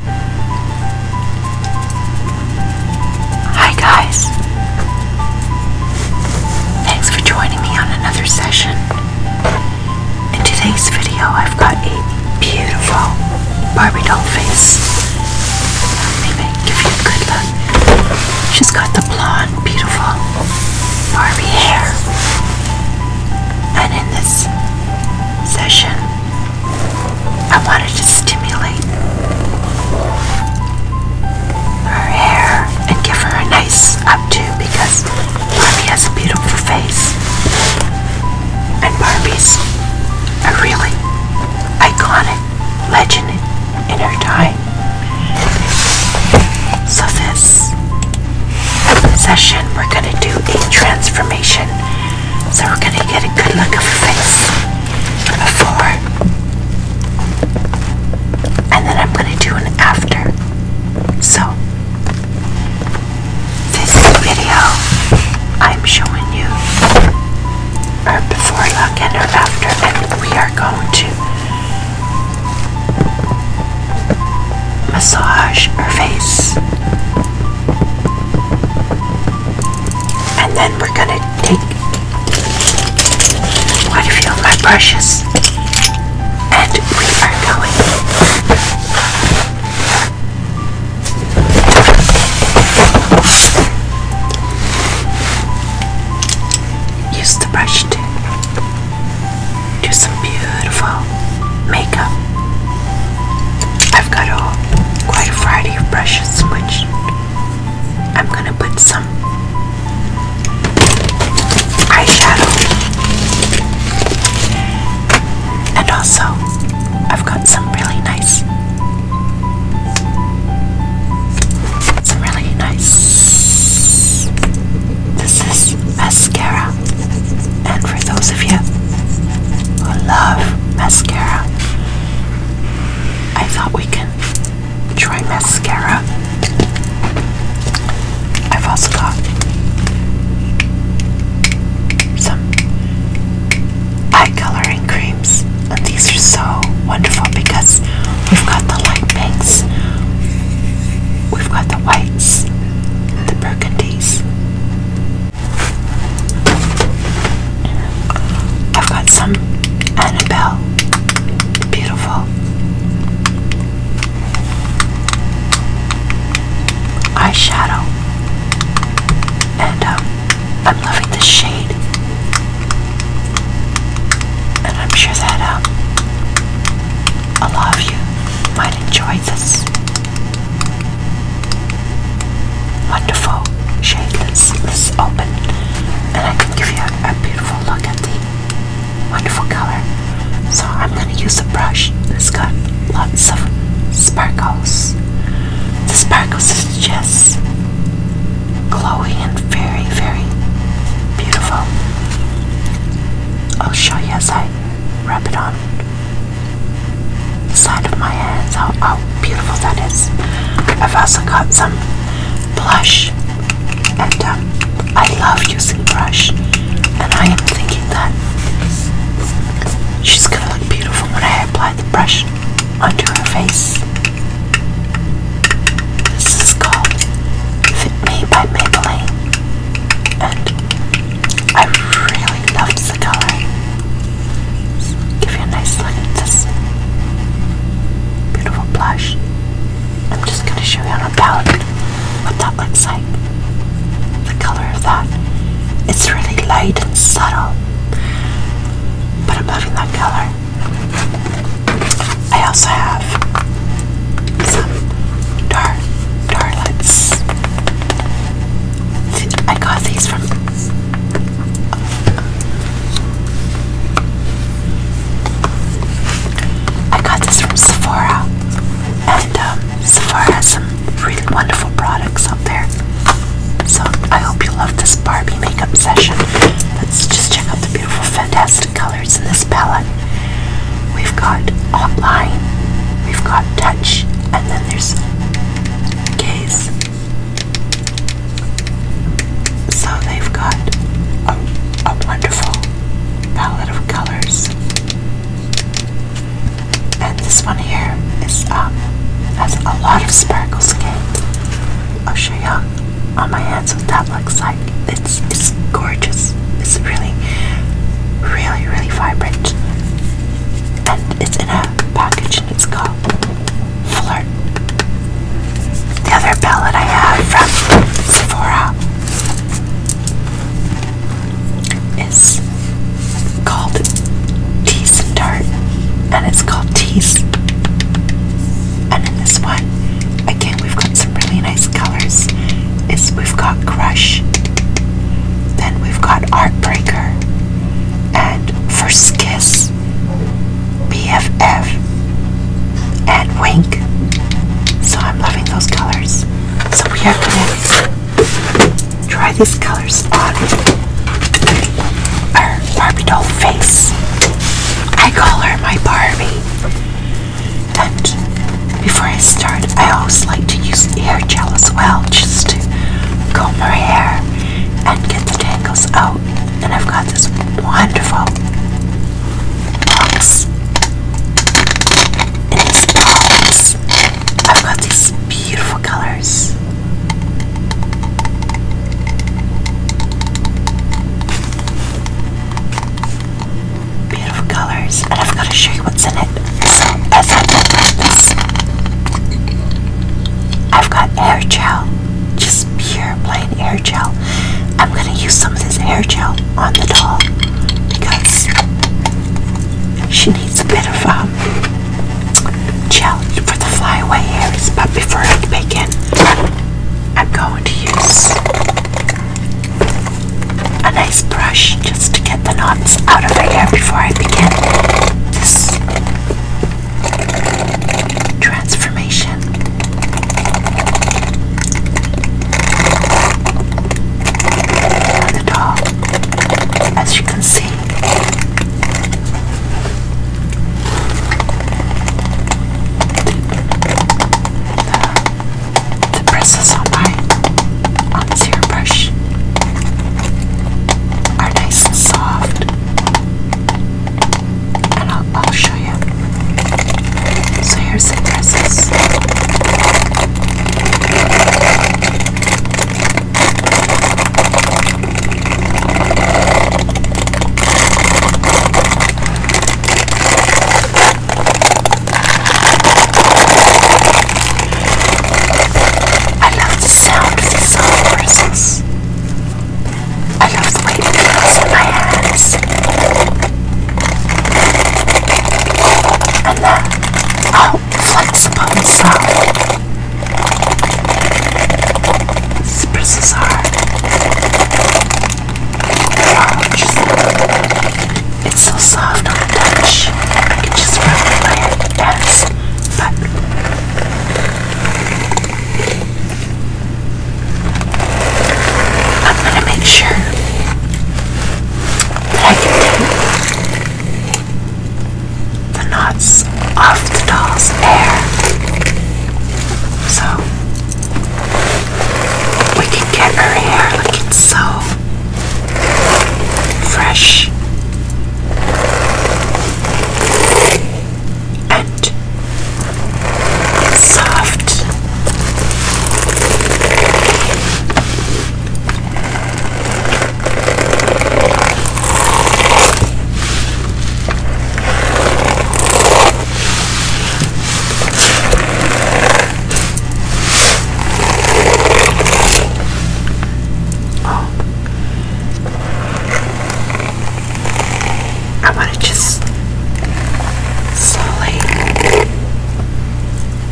Hi guys. Thanks for joining me on another session. In today's video, I've got a beautiful Barbie doll face. Let me give you a good look. She's got the blonde, beautiful Barbie hair. And in this session, I wanted to stimulate her hair and give her a nice updo because Barbie has a beautiful face. And Barbie's a really iconic legend in her time. So this session we're going to do a transformation so we're going to get a good look of her face before. And then I'm going to do an after. So, this video, I'm showing you her before look and her after. And we are going to massage her face. And then we're gonna take quite of my brushes and we are going use the brush to do some beautiful makeup. I've got a, quite a variety of brushes, which I'm gonna put some eyeshadow. And also, I've got some really nice, some really nice. This is mascara. And for those of you who love mascara, I thought we can try mascara. I've also got some eye coloring creams, and these are so wonderful because we've got the light pinks, we've got the whites, the burgundies, I've got some Annabelle. Beautiful. Eyeshadow. And um, I'm loving this shade. And I'm sure that um, a lot of you might enjoy this. Wonderful shade. Let's, let's open and I can give you a, beautiful look at the wonderful color. So I'm going to use a brush that's got lots of sparkles. The sparkles just glowy and very, very beautiful. I'll show you as I wrap it on the side of my hands. How, beautiful that is. I've also got some blush, and um, I love using brush, and I am thinking that she's gonna look beautiful when I apply the brush onto her face. This is called Fit Me by Maybelline and I really love the color. give you a nice look at beautiful blush. I'm just going to show you on a palette what that looks like. The color of that. It's really light and subtle, but I'm loving that color. I also have some dark, dark I got these from I got this from Sephora, and um, Sephora has some really wonderful products up there. So I hope you love this Barbie makeup session. Let's just check out the beautiful, fantastic colors in this palette. We've got hotline, we've got touch, and then there's gaze. So they've got a, wonderful palette of colors. And this one here is um, has a lot of sparkles again. I'll show you on my hands what that looks like. It's, it's gorgeous it's really, really, really vibrant, and it's in a package, and it's called Flirt. The other palette I have from Sephora is called Tease and Tart, and it's called Tease. And in this one, again, we've got some really nice colors. Is we've got Crush. Then we've got Heartbreaker and First Kiss, BFF, and Wink. So I'm loving those colors. So we are going to try these colors on our Barbie doll face. I call her my Barbie touch. Before I start, I always like to use hair gel as well, just to comb my hair and get the tangles out. And I've got this wonderful box. In this box, I've got these beautiful colors beautiful colors, and I've got to show you what's in it. I have got hair gel, just pure plain air gel. I'm going to use some of this air gel on the doll because she needs a bit of um, gel for the flyaway hairs. But before I bake I'm going to use a nice brush just to get the knots out of my hair before I begin this transformation. Not at as you can see the bristles on my on this hairbrush are nice and soft, and I'll, I'll show you. So here's the bristles. I love the sound of the little voices. I love the way it feels in my hands. And then, how flexible and are it's so soft on the touch. I can just rub my hand But I'm gonna make sure I get the knots off the doll's hair. So we can get her hair looking so fresh and soft. I'm going to just slowly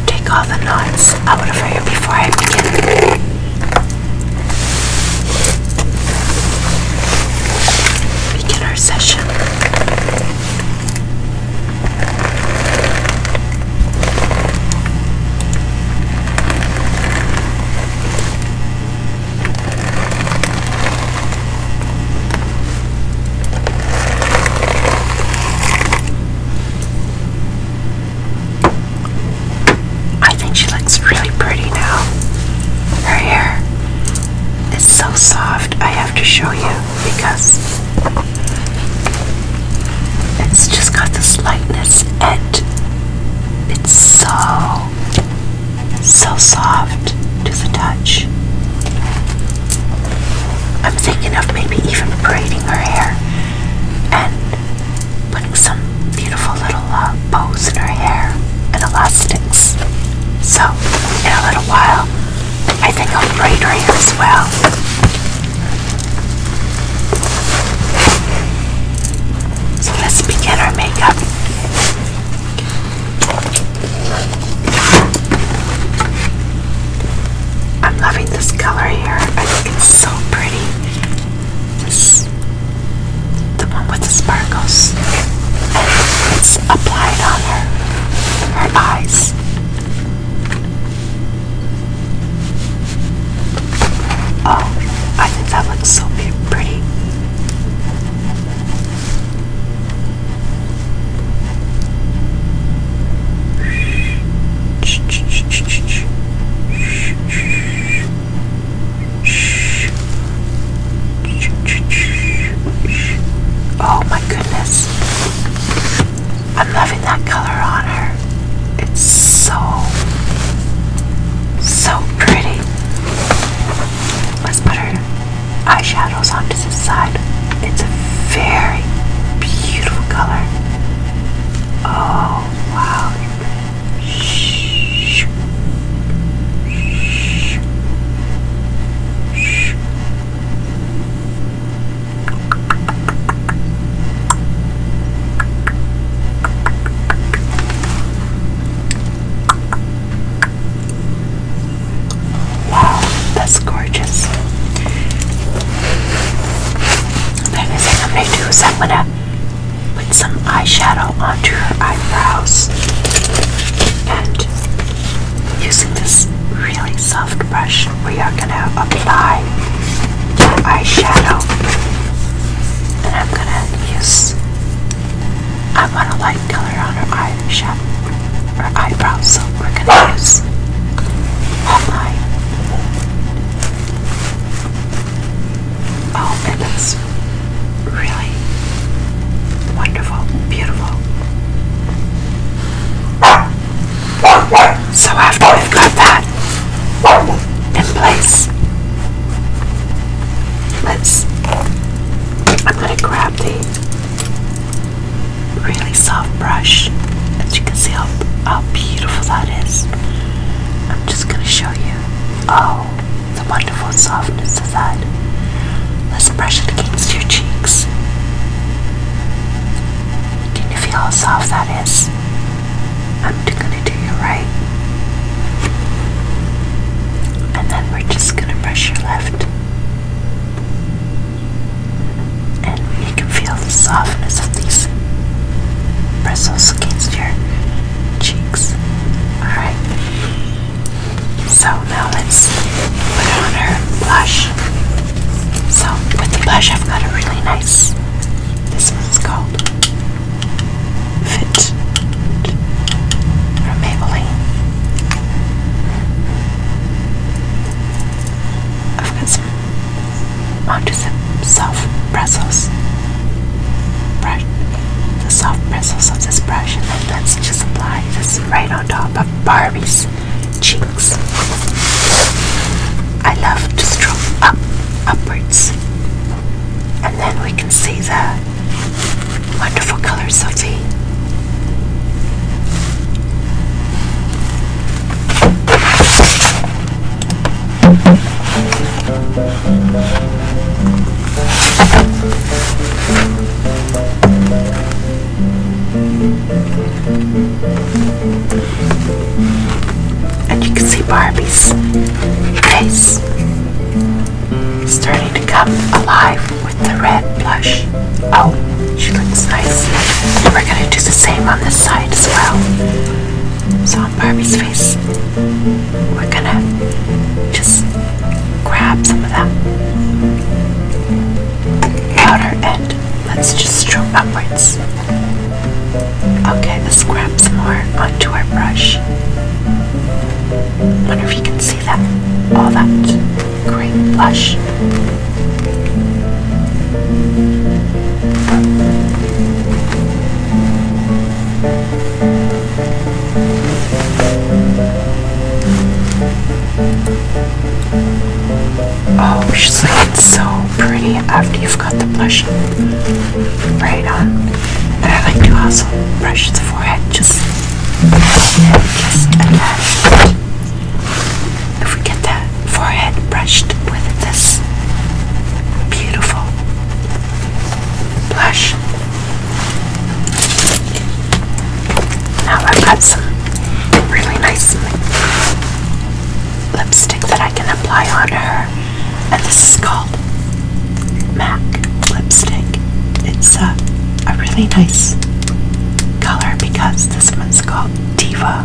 take all the knots out of here before I begin. Begin our session. I think she looks really pretty now. Her hair is so soft, I have to show you because it's just got this lightness and it's so so soft to the touch. I'm thinking of maybe even braiding her hair and putting some beautiful little uh, bows in her hair and elastics. So in a little while I think I'll braid it hair as well. So let's begin our makeup. I'm loving this color here. I think it's so pretty. This, the one with the sparkles. It's applied on her, her eyes. Oh, I think that looks so pretty. Oh, my goodness. I'm loving that color on her. It's so, so pretty. Let's put her eyeshadows onto this side. It's a very beautiful color. Oh, wow. Shh. Shh. Shh. Wow, that's gorgeous. That is what I'm gonna do is I'm gonna put some eyeshadow onto her eyebrows and Using this really soft brush, we are going to apply our eyeshadow. And I'm going to use, I want a light color on her eyeshadow, her eyebrows, we're going to use my, oh, it looks really Wonderful, beautiful. So after we've got that in place, let's. I'm going to grab the really soft brush, as you can see how how beautiful that is. I'm just going to show you. Oh, the wonderful softness. Let's brush it against your cheeks. Can you feel how soft that is? I'm gonna do your right. And then we're just gonna brush your left. And you can feel the softness of these bristles against your cheeks. Alright. So now let's put on her blush. So with the blush I've got a really nice, this one's called Fit from Maybelline. I've got some onto some soft bristles. Brush the soft bristles of this brush and then let's just apply this right on top of Barbie's cheeks. I love to stroke up, upwards. And then we can see the wonderful colors of and you can see Barbie's face starting to come alive with the red blush. Oh, she looks nice. we're going to do the same on this side as well. So on Barbie's face, we're going to just grab some of that outer end. let's just stroke upwards. Okay, let's grab some more onto our brush. Wonder if you can see that, all that great blush. Oh, she's looking so pretty after you've got the blush right on. And I like to also brush the forehead just, just a touch. If we get that forehead brushed with this beautiful blush, now I've got some really nice lipstick that I can apply on her, and this is called MAC lipstick. It's a, really nice color because this one's called Diva.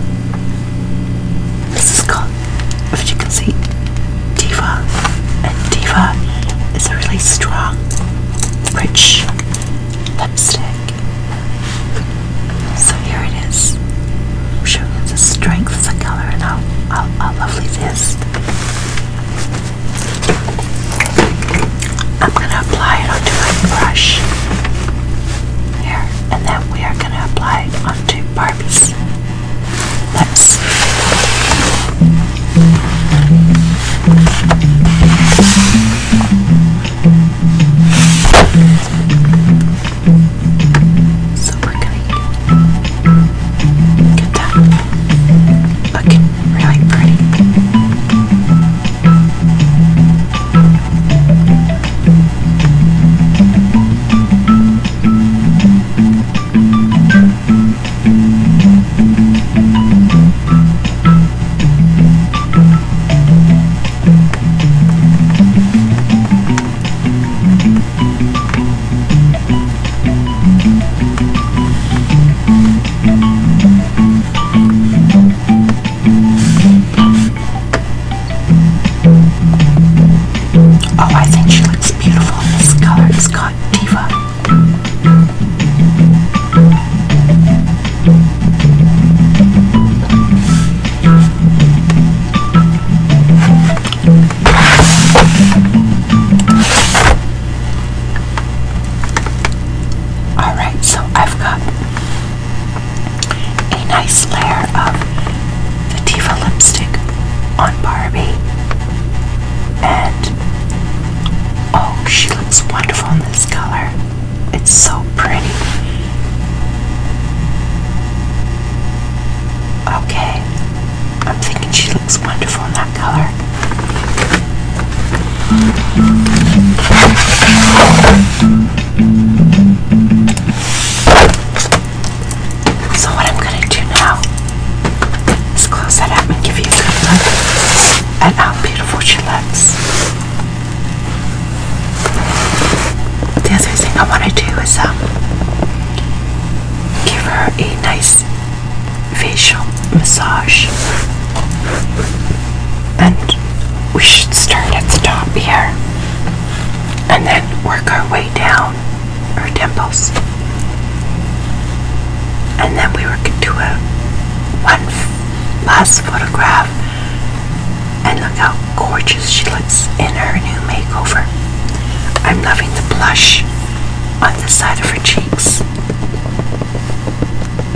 This is called, if you can see, Diva, and Diva is a really strong, rich lipstick. So here it is. I'm showing you the strength of the color and how, how, how lovely it is. I'm going to apply it onto my brush. Here. And then we are going to apply it onto Barbie's lips. So we're gonna get that looking really pretty. Oh, I think she looks beautiful in this color. It's called Diva. All right, so I've got a nice layer of the lipstick on Barbie Oh, she looks wonderful in this color. It's so pretty. Okay, I'm thinking she looks wonderful in that color. So, what I'm going to do now Let's close that up and give you a good look at how beautiful she looks. The other thing I want to do is um, give her a nice facial massage. And we should start at the top here and then work our way down her temples and then we were going to a one last photograph and look how gorgeous she looks in her new makeover i'm loving the blush on the side of her cheeks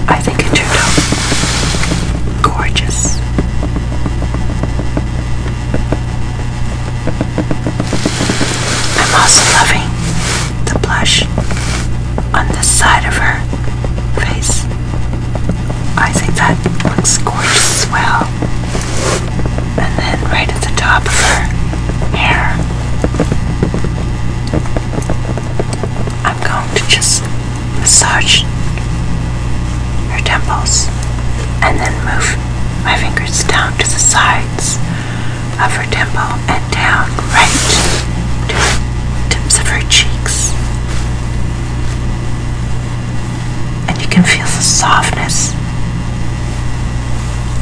i think it turned out gorgeous i'm also loving the blush on the side of her face. I think that looks gorgeous as well. And then right at the top of her hair, I'm going to just massage her temples and then move my fingers down to the sides of her temple and down right to the tips of her cheeks. And you can feel the softness,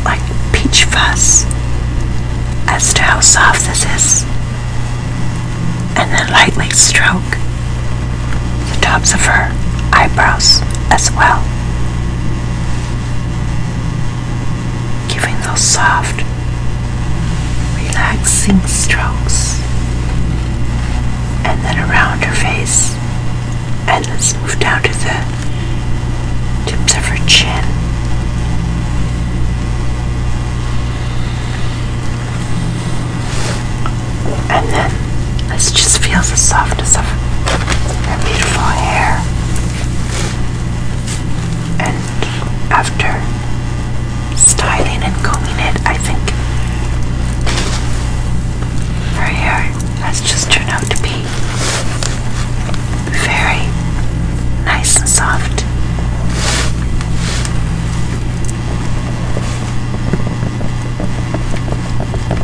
like peach fuzz, as to how soft this is. And then lightly stroke the tops of her eyebrows as well giving those soft, relaxing strokes. And then around her face. And let's move down to the tips of her chin. And then this us just feel the softness of her beautiful hair. And after styling and combing it, I think her hair has just turned out to be very nice and soft.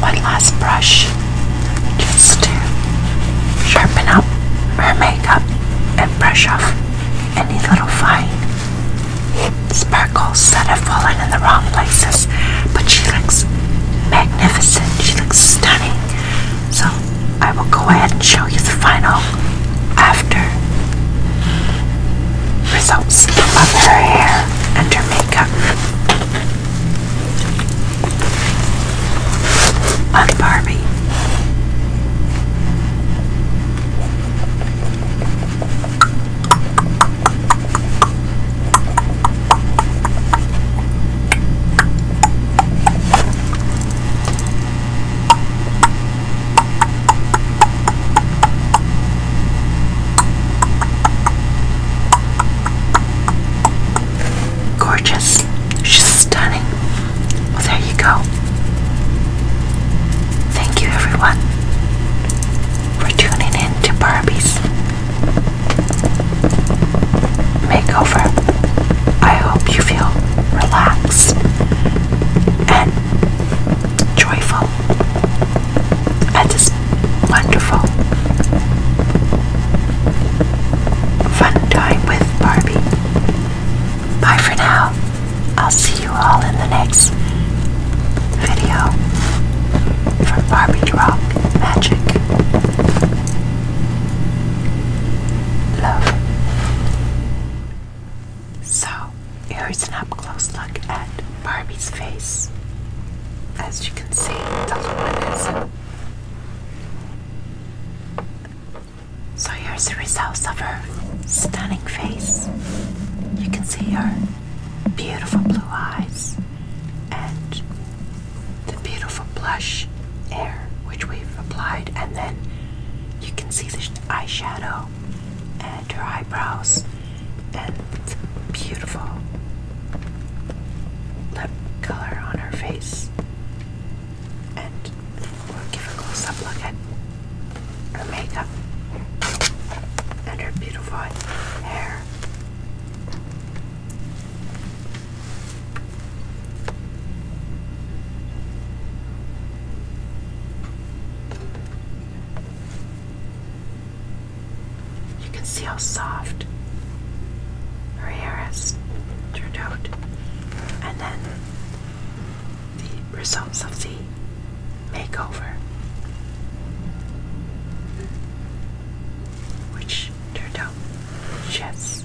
one last brush just to sharpen up her makeup and brush off any little fine sparkles that have fallen in the wrong places. But she looks magnificent, she looks stunning. So I will go ahead and show you the final after results of her hair and her makeup. I'm Barbie. Gorgeous. She's stunning. there you go. Thank you, everyone, for tuning in to Barbie's Makeover. I hope you feel relaxed and joyful that is wonderful. Fun time with Barbie. Bye for now. I'll see you all in the next video from Barbie Drop Magic. Love. So, here's an up close look at. Barbie's face. As you can see, the luminescent. So here's the results of her stunning face. You can see her beautiful blue eyes and the beautiful blush air which we've applied, and then you can see the eyeshadow and her eyebrows and beautiful lip color on her face. And give a close up look at her makeup and her beautiful hair. You can see how soft her hair has turned out. And then the results of the makeover, which turned out just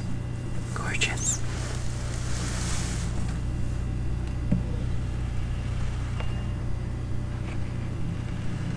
gorgeous.